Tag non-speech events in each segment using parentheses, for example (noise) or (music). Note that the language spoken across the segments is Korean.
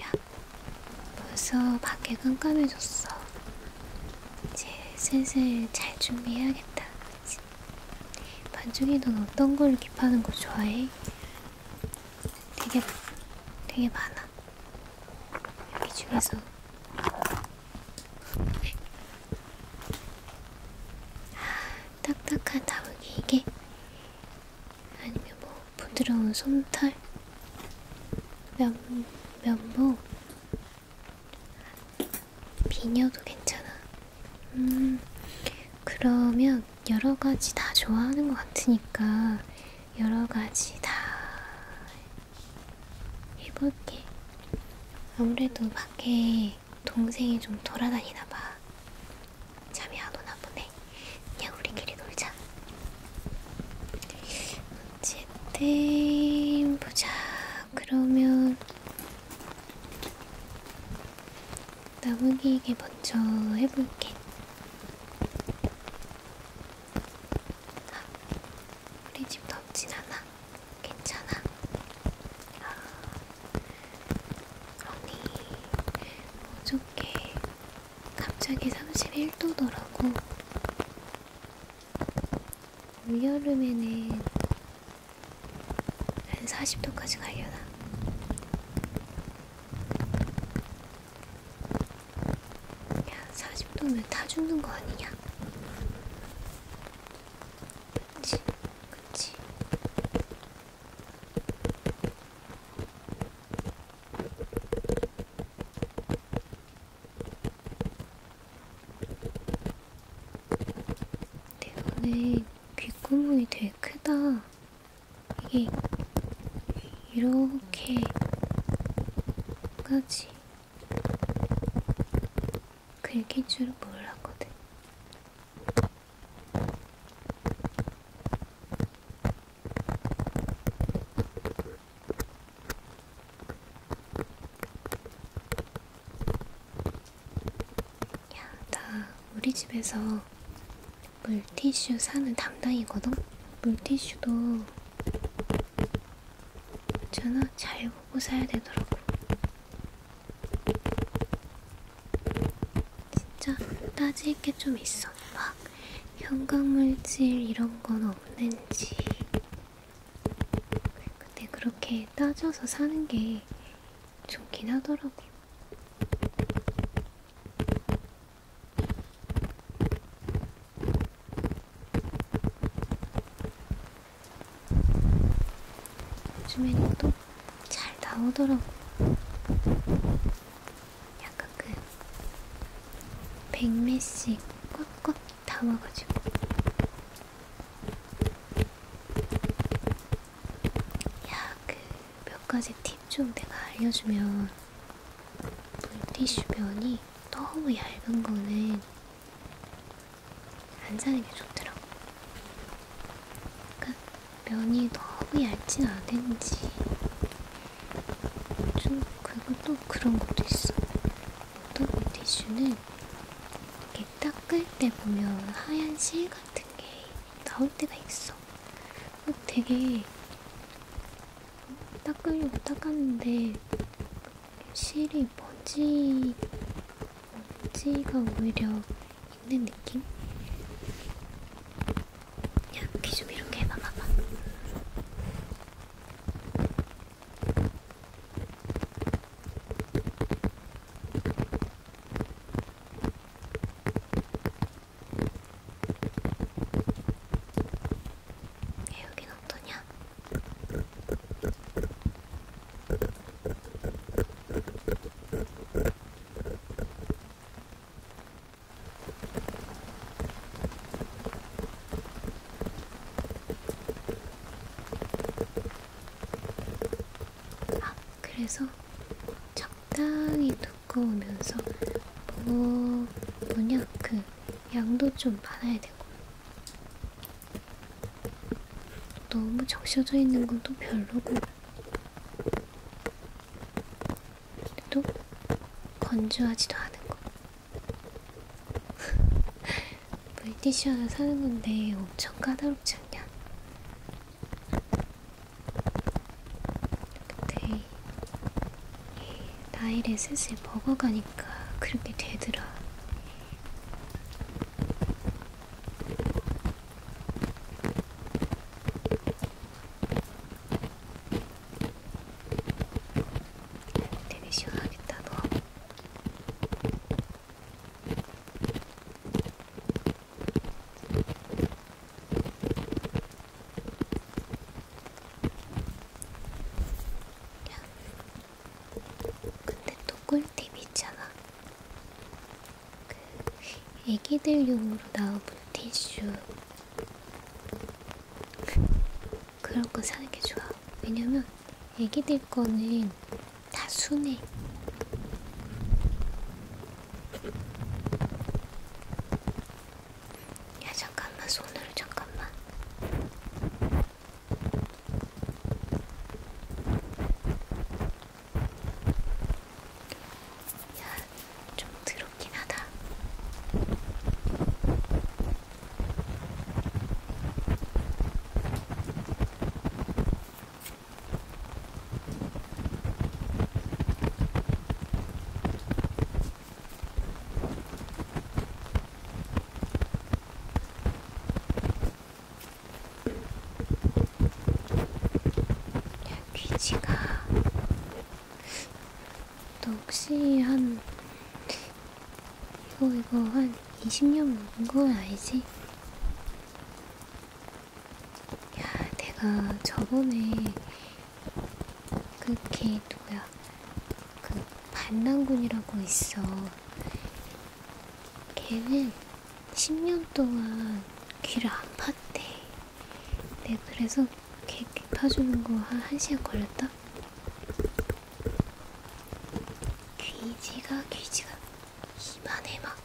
야, 벌써 밖에 깜깜해졌어. 이제 슬슬 잘 준비해야겠다. 그치? 반죽이 넌 어떤 걸 깁하는 거 좋아해? 되게, 되게 많아. 여기 중에서. 아, 딱딱한 다물기 이게 아니면 뭐 부드러운 솜털, 면, 면봉, 비녀도 괜찮아. 음, 그러면 여러 가지 다 좋아하는 것 같으니까 여러 가지 다 해볼게. 아무래도 밖에 동생이 좀 돌아다니나 봐. 잠이 안 오나 보네. 그냥 우리끼리 놀자. 어쨌든 보자. 그러면 나무 기계 먼저 해볼게. 아, 우리 집 덥진 않아. 괜찮아. 아, 언니 어저께 갑자기 31도더라고. 올여름에는 한 40도까지 가려나. 야, 40도면 다 죽는 거 아니냐? 그치, 그치. 근데 너네 귓구멍이 되게 크다. 이게 이렇게까지 긁힌 줄은 몰랐거든. 야, 나 우리 집에서 물티슈 사는 담당이거든? 물티슈도 있잖아, 잘 보고 사야 되더라고. 진짜 따질 게 좀 있어. 막 형광물질 이런 건 없는지. 근데 그렇게 따져서 사는 게 좋긴 하더라고. 요즘엔 또잘 나오더라고. 약간 그 백매씩 꽉꽉 담아가지고 야그몇 가지 팁 좀 내가 알려주면 물티슈 면이 너무 얇은 거는 안 사는 게 좋더라고. 그러니까 면이 너무 얇진 않은지 좀 그리고 또 그런 것도 있어. 어떤 물티슈는 이렇게 닦을 때 보면 하얀 실 같은 게 나올 때가 있어. 되게 닦으려고 닦았는데 실이 먼지, 먼지가 오히려 있는 느낌? 야, 귀좀 이렇게 해봐, 봐봐. 여긴 어떠냐? 아, 그래서 적당히 두꺼우면서 뭐 뭐냐 그 양도 좀 많아야 되고 너무 적셔져 있는 건 또 별로고 또 건조하지도 않은 거. (laughs) 물티슈 하나 사는 건데 엄청 까다롭지 않냐? 근데 나일에 슬슬 먹어가니까 그렇게 되더라. 되게 시원하겠다 너. 근데 또 꿀팁 있잖아. 그 애기들용으로 나온 물티슈 그런 거 사는 게 좋아. 왜냐면 애기들 거는 다 순해. 야 잠깐만 손으로 잠깐만. 좀 더럽긴 하다. 귀지가 너 혹시 한 이거 이거 한 20년 먹은 건 아니지? 야 내가 저번에 그걔 누구야 그 반란군이라고 있어 걔는 10년 동안 귀를 안 팠대. 네, 그래서 귀, 귀 파주는 거한 1시간 걸렸다? 귀지가, 귀지가 이만해, 막.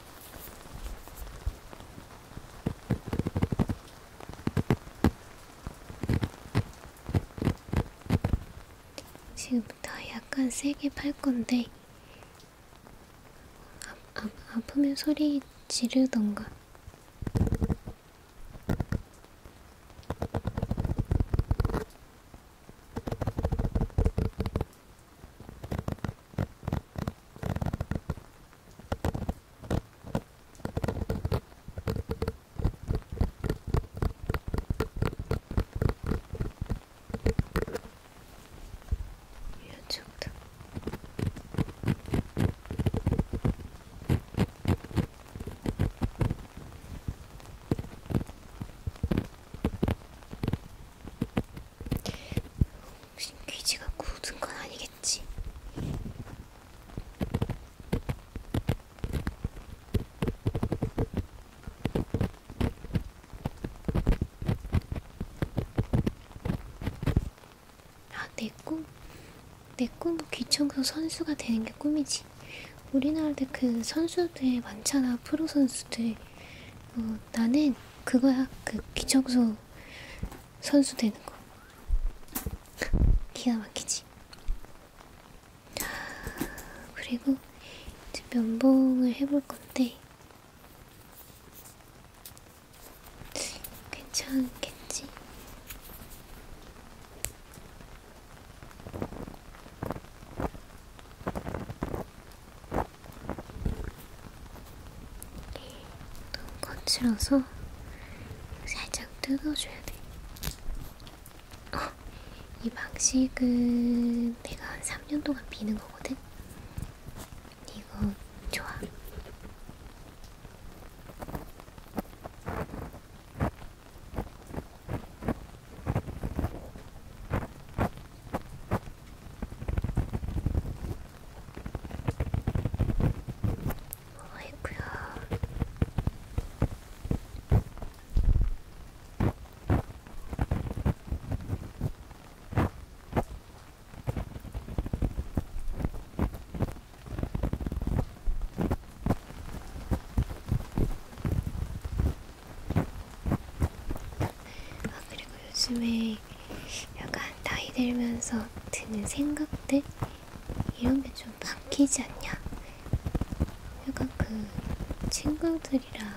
지금부터 약간 세게 팔 건데 아, 아, 아프면 소리 지르던가. 이쪽도 혹시 귀지가 굳은 건 아니겠지? 아, 내 꿈? 내 꿈은 귀청소 선수가 되는 게 꿈이지. 우리나라도 그 선수들 많잖아, 프로 선수들. 어, 나는 그거야, 그 귀청소 선수 되는 거. 기가 막히지. 그리고 이제 면봉을 해볼 건데, 괜찮겠지? 너무 네, 거칠어서 살짝 뜯어줘야 돼. 어, 이 방식은 내가 한 3년 동안 미는 거거든? 이거 좋아. 아이구야. 아, 그리고 요즘에 약간 나이 들면서 드는 생각들? 이런 게 좀 바뀌지 않냐? 약간 그 친구들이랑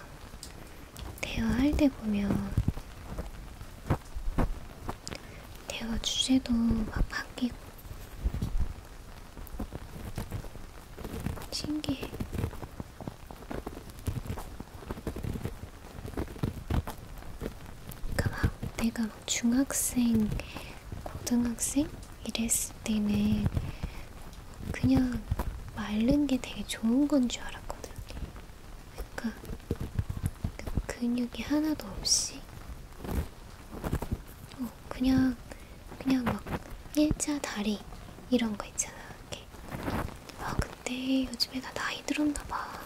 대화할 때 보면 대화 주제도 막 바뀌고 신기해. 그러니까 막 내가 막 중학생, 고등학생 이랬을 때는 그냥 말른 게 되게 좋은 건 줄 알았거든. 그니까 그 근육이 하나도 없이 어, 그냥 그냥 막 일자 다리 이런 거 있잖아. 이렇게. 아 근데 요즘에 나 나이 들었나 봐.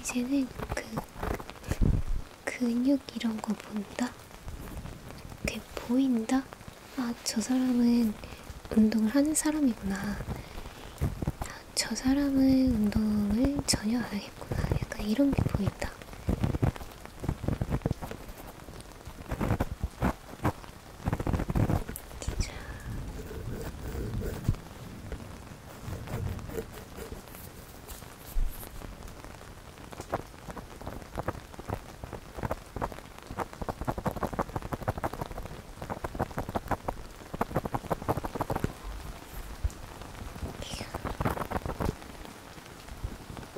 이제는 그 근육 이런 거 본다. 그게 보인다. 아, 저 사람은 운동을 하는 사람이구나. 아, 저 사람은 운동을 전혀 안 하겠구나. 약간 이런 게 보인다. 진짜.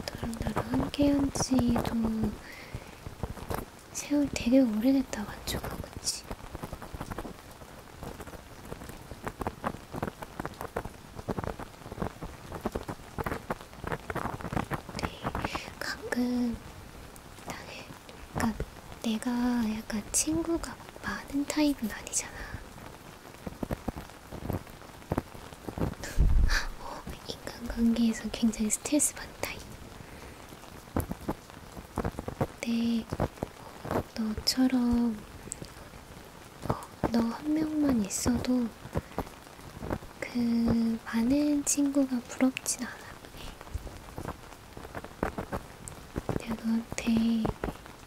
너랑 나랑 함께 한지도 세월 되게 오래됐다 맞춰가 그치? 네, 가끔 나는 그러니까 내가 약간 친구가 많은 타입은 아니잖아. 어, 인간관계에서 굉장히 스트레스 받는 타입. 근데 어, 너처럼 어, 너한 명만 있어도 그 많은 친구가 부럽진 않아. 내가 너한테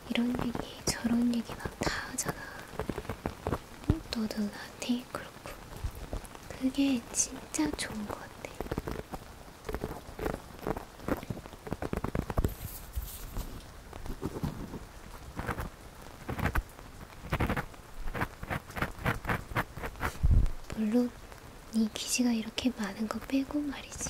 이런 얘기 저런 얘기 난다 하잖아. 너도 나한테 그렇고. 그게 진짜 좋은 것 같아. 물론 네 기지가 이렇게 많은 거 빼고 말이지.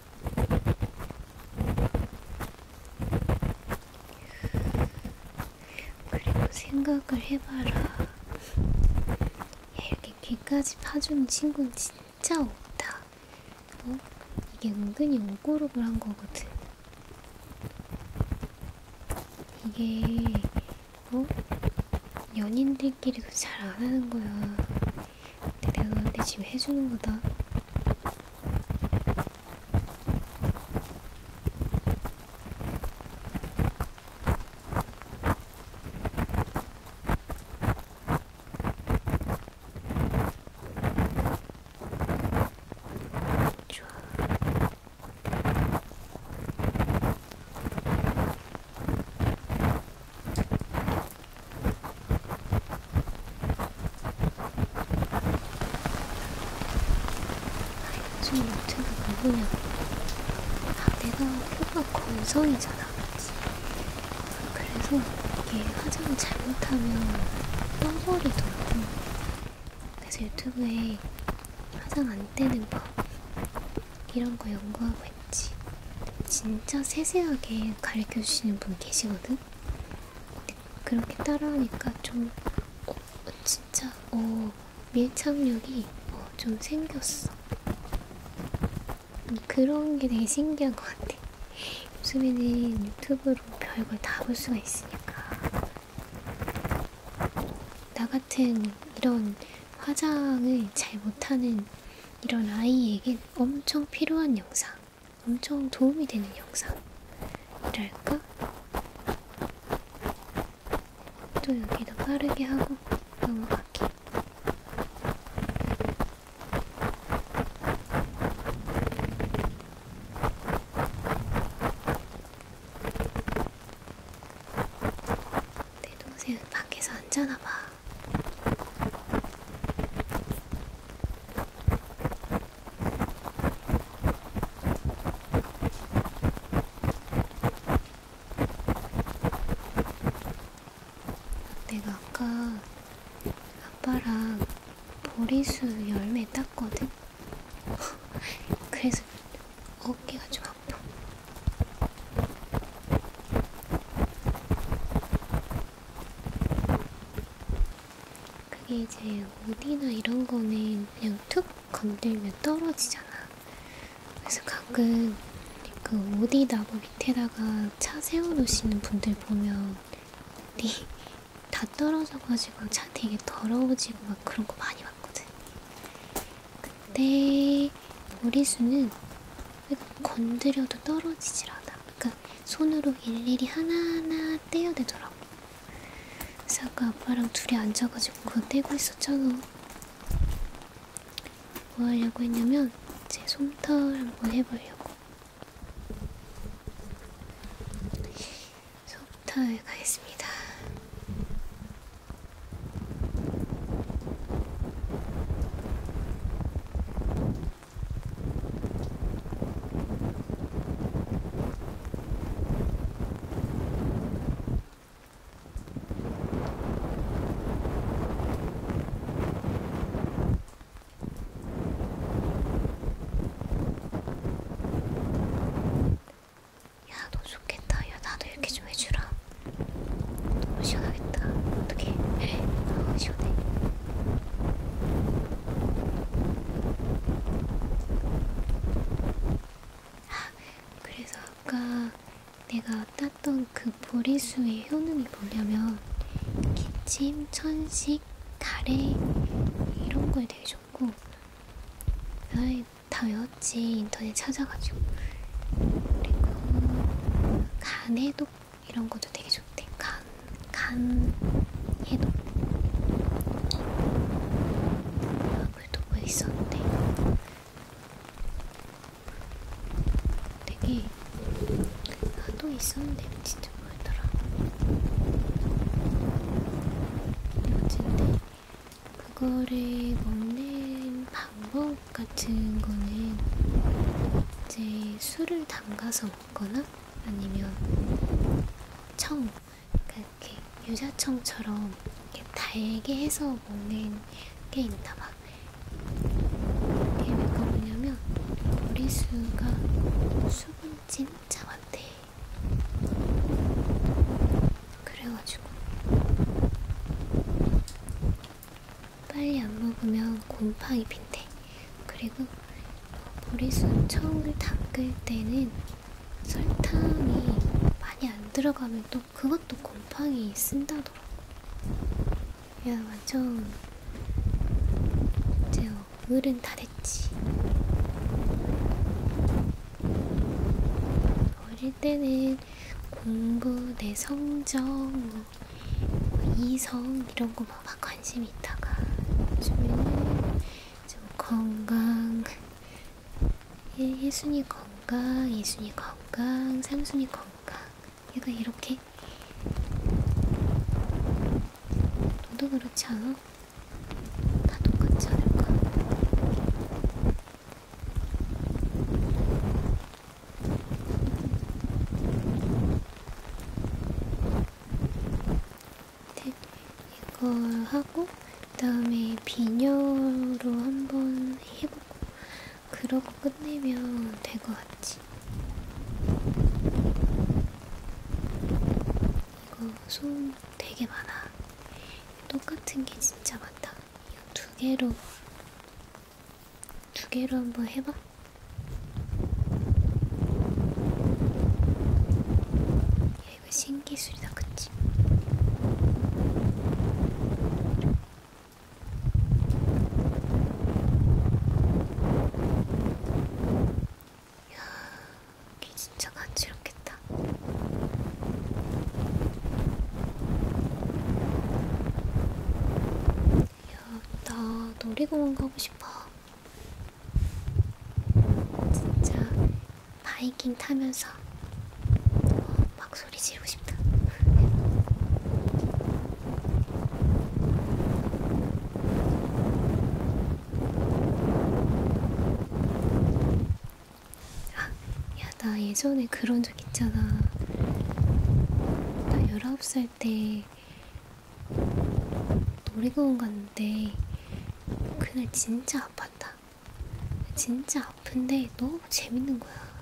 그리고 생각을 해봐라. 이렇게 귀까지 파주는 친구는 진짜 없다. 어? 이게 은근히 오고록을 한 거거든. 이게 어? 연인들끼리도 잘 안 하는 거야. 내가 너한테 지금 해주는 거다. 좋아. 요즘 유튜브 누구냐고 아 내가 표가 건성이잖아 그치? 그래서 이게 화장을 잘못하면 떠버리더라고 그래서 유튜브에 화장 안떼는 법 이런 거 연구하고 했지. 진짜 세세하게 가르쳐 주시는 분 계시거든? 근데 그렇게 따라하니까 좀, 어, 진짜, 어, 밀착력이 어, 좀 생겼어. 음, 그런 게 되게 신기한 것 같아. 요즘에는 유튜브로 별걸 다 볼 수가 있으니까. 나 같은 이런 화장을 잘 못하는 이런 아이에겐 엄청 필요한 영상, 엄청 도움이 되는 영상이랄까? 또 여기다 빠르게 하고 넘어갈게. 내 동생은 밖에서 앉아나봐. 내가 아까 아빠랑 보리수 열매 땄거든? (laughs) 그래서 어깨가 좀 아파. 그게 이제 옷이나 이런 거는 그냥 툭 건들면 떨어지잖아. 그래서 가끔 그 옷이나무 밑에다가 차 세워놓으시는 분들 보면 옷이 (laughs) 다 떨어져가지고 차 되게 더러워지고 막 그런 거 많이 봤거든. 그때 머리수는 건드려도 떨어지질 않아. 그러니까 손으로 일일이 하나하나 떼야 되더라고. 그래서 아까 아빠랑 둘이 앉아가지고 그거 떼고 있었잖아. 뭐 하려고 했냐면 제 솜털 한번 해보려고. 솜털 가겠습니다. 야, 너 좋겠다. 야, 나도 이렇게 좀 해주라. 너무 시원하겠다. 어떻게? 너무 아, 시원해. 아, 그래서 아까 내가 땄던 그 보리수의 효능이 뭐냐면 기침, 천식, 가래 이런 거에 되게 좋고 아이 다 외웠지 인터넷 찾아가지고 그리고 간에도 이런 것도 되게 좋대. 간, 간 해독. 얼굴도 뭐 있었는데. 되게 나도 아, 있었는데 진짜 뭐였더라. 어쨌든 그거를 먹는 방법 컵 같은 거는 이제 술을 담가서 먹거나 아니면 청, 그러니까 이렇게 유자청처럼 이렇게 달게 해서 먹는 게 있나 봐. 이게 왜 그러냐면 머리수가 수분 진짜 많대. 그래가지고 빨리 안 먹으면 곰팡이 핀대. 그리고 보리수 처음 담글 때는 설탕이 많이 안 들어가면 또 그것도 곰팡이 쓴다더라고. 야 완전 이제 어른 다 됐지. 어릴 때는 공부 내 성적 뭐그 이성 이런 거 막 관심 있다가 요즘에는 좀 건강 예, 1순위 건강, 2순위 건강, 3순위 건강 얘가 이렇게 너도 그렇지 않아? 다 똑같지 않을까? 이걸 하고 그다음에 비녀로 한번 해보고 그러고 끝내면 될 것 같지. 이거 소음 되게 많아. 똑같은 게 진짜 많다. 이거 두 개로 두 개로 한번 해봐. 야, 이거 신기술이다, 그치? 야, 이게 진짜 간지럽겠다. 야, 나 놀이공원 가고 싶어. 진짜 바이킹 타면서 막 소리 지르고 싶다. 아, 야나 예전에 그런 적 있잖아 나 19살 때 놀이공원 갔는데 그날 진짜 아팠다 진짜 아픈데 너무 재밌는 거야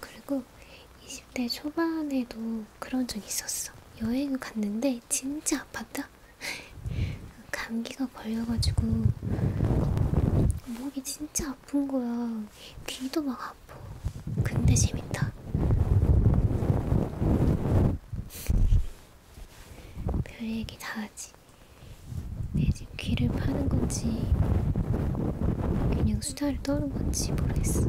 그리고 20대 초반에도 그런 적 있었어 여행을 갔는데 진짜 아팠다 감기가 걸려가지고 목이 진짜 아픈 거야. 귀도 막 아파. 근데 재밌다. 별 얘기 다 하지. 내 지금 귀를 파는 건지 그냥 수다를 떠는 건지 모르겠어.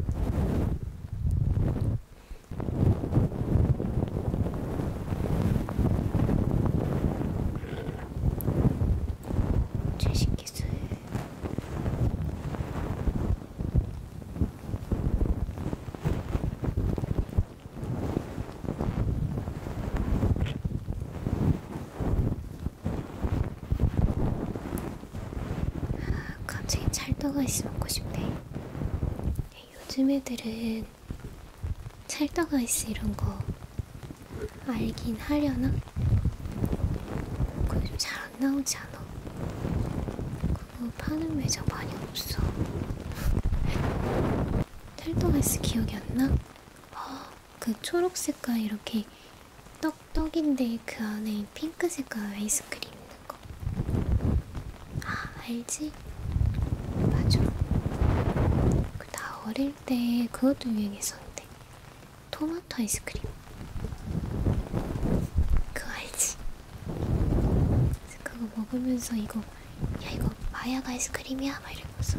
최신 기술 아, 갑자기 찰떡아이스 먹고 싶네. 요즘 애들은 난 찰떡 아이스 이런 거 알긴 하려나? 그거 좀 잘 안 나오지 않아? 그거 파는 매장 많이 없어. (laughs) 찰떡 아이스 기억이 안 나? 어, 그 초록 색깔 이렇게 떡떡인데 그 안에 핑크 색깔 아이스크림 거. 아, 알지? 맞아. 그 나 어릴 때 그것도 유행했었는데. 토마토 아이스크림. 그거 알지? 그거 먹으면서 이거, 야, 이거 마약 아이스크림이야? 막 이러면서.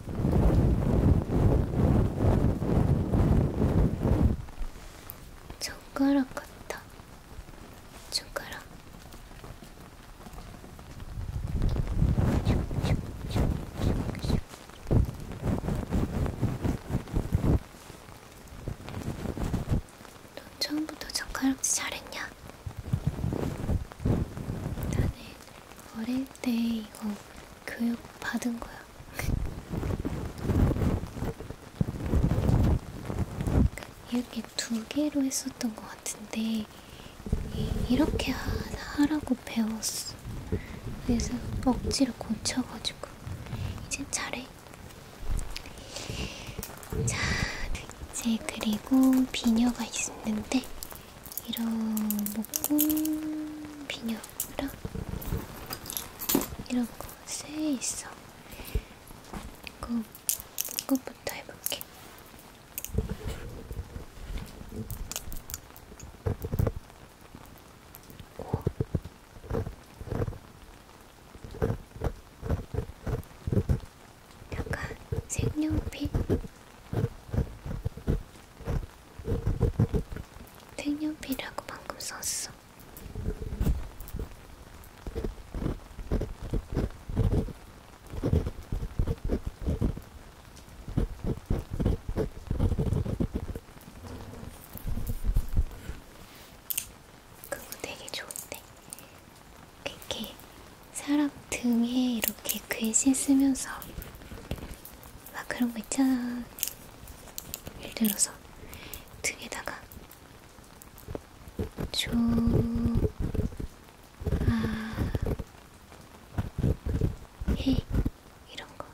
젓가락 같아. 젓가락. 넌 처음부터 젓가락질 잘했냐? 나는 어릴 때 이거 교육 받은 거야. (laughs) 이렇게 두 개로 했었던 것 같은데 이렇게 하라고 배웠어. 그래서 억지로 고쳐가지고 이제 잘해. 자, 이제 그리고 비녀가 있는데 이런 먹고 비녀라 이런 거세 있어. 그 그것부터 해볼게. 오. 약간 색연필 색연필이라고 방금 썼어. 그거 되게 좋은데 이렇게 사람 등에 이렇게 글씨 쓰면서 막 그런 거 있잖아. 예를 들어서 등에다가 조, 아, 해. 이런 거.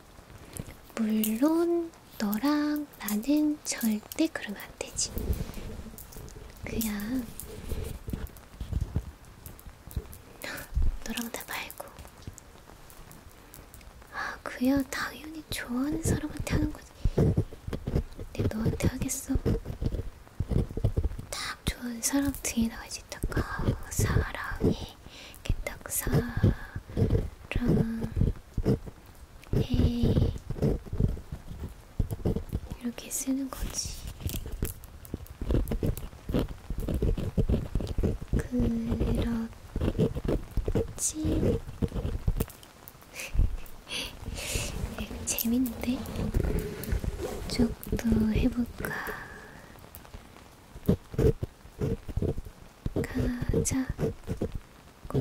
물론, 너랑 나는 절대 그러면 안 되지. 그냥 너랑나 말고. 아, 그야 당연히 좋아하는 사람한테 하는 거지. 내 너한테 하겠어. 딱 좋아하는 사람 등에다가 이제 딱 아, 사랑해. 이렇게 딱 사랑해. 이렇게 쓰는 거지. 그렇지. (laughs) 재밌는데? 쪽도 해볼까? 가자. 고.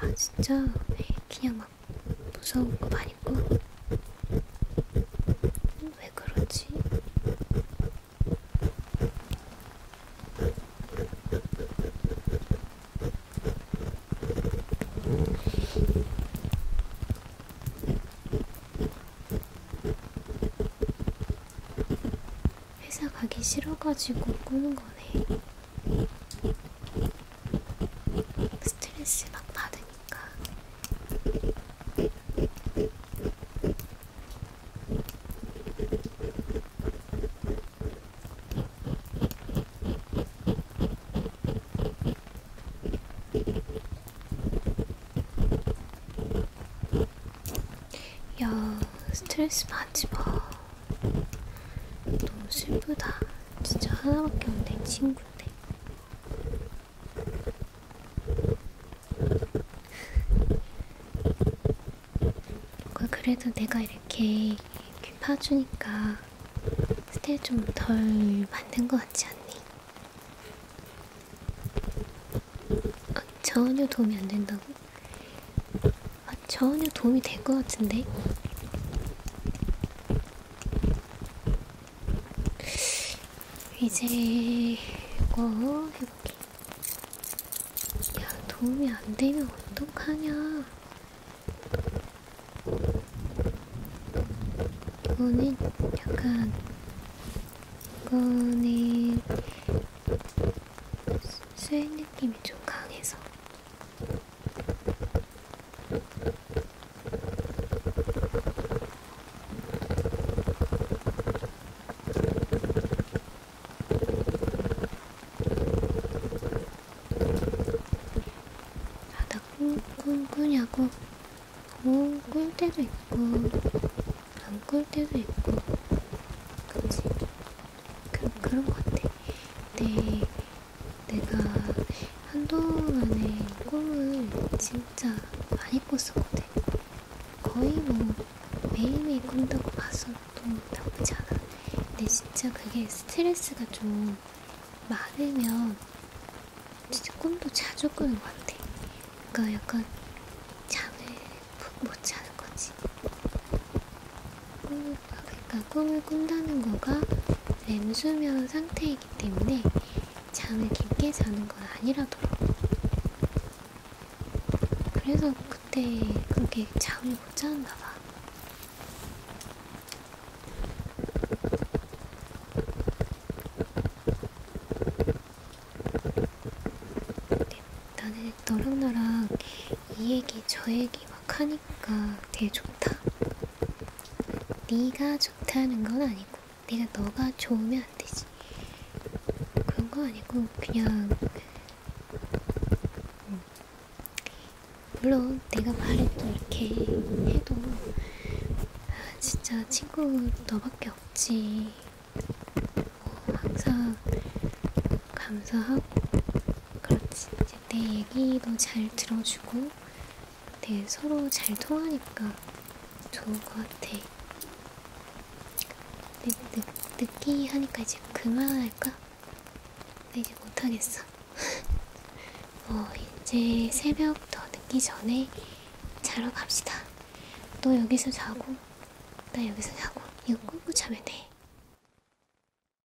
아 진짜 그냥 막 무서운 거 아니고 왜 그러지? 회사 가기 싫어가지고 꾸는 거네. 스트레스 막 받으니까 야 스트레스 받지마 너무 슬프다 진짜 하나밖에 없네, 친구인데. 그 그래도 내가 이렇게 귀 파주니까 스텔 좀덜 만든 것 같지 않니? 아, 전혀 도움이 안 된다고? 아, 전혀 도움이 될 것 같은데? 이제 뭐 해볼게. 야, 도움이 안 되면 어떡하냐. 이거는 약간, 이거는 수액 느낌이 좀 강해서 바다 꿈꾸냐고 오꿀 때도 있고 안 꿀 때도 있고 그치? 그, 그런 것 같아. 근데 네. 내가 한동안에 꿈을 진짜 많이 꿨었거든. 거의 뭐 매일매일 꾼다고 봐서도 나쁘지 않아. 근데 진짜 그게 스트레스가 좀 많으면 진짜 꿈도 자주 꾸는 것 같아. 그러니까 약간 잠을 푹못 자는 거지. 음, 그러니까 꿈을 꾼다는 거가 렘수면 상태이기 때문에 잠을 깊게 자는 건 아니라더라고요. 그래서 그때 그렇게 잠을 못 자는가 봐. 네, 나는 너랑 나랑 이 얘기 저 얘기 막 하니까 하니까 되게 좋다. 네가 좋다는 건 아니고, 내가 너가 좋으면 안 되지. 그런 거 아니고, 그냥 음. 물론 내가 말을 또 이렇게 해도 아, 진짜 친구 너밖에 없지. 뭐 항상 감사하고 그렇지. 이제 내 얘기도 잘 들어주고 내 네, 서로 잘 통하니까 좋은 것 같아. 늦, 네, 늦, 늦기 하니까 이제 그만할까? 나 네, 이제 못하겠어. (laughs) 어, 이제 새벽 더 늦기 전에 자러 갑시다. 너 여기서 자고, 나 여기서 자고, 이거 꾹꾹 자면 돼.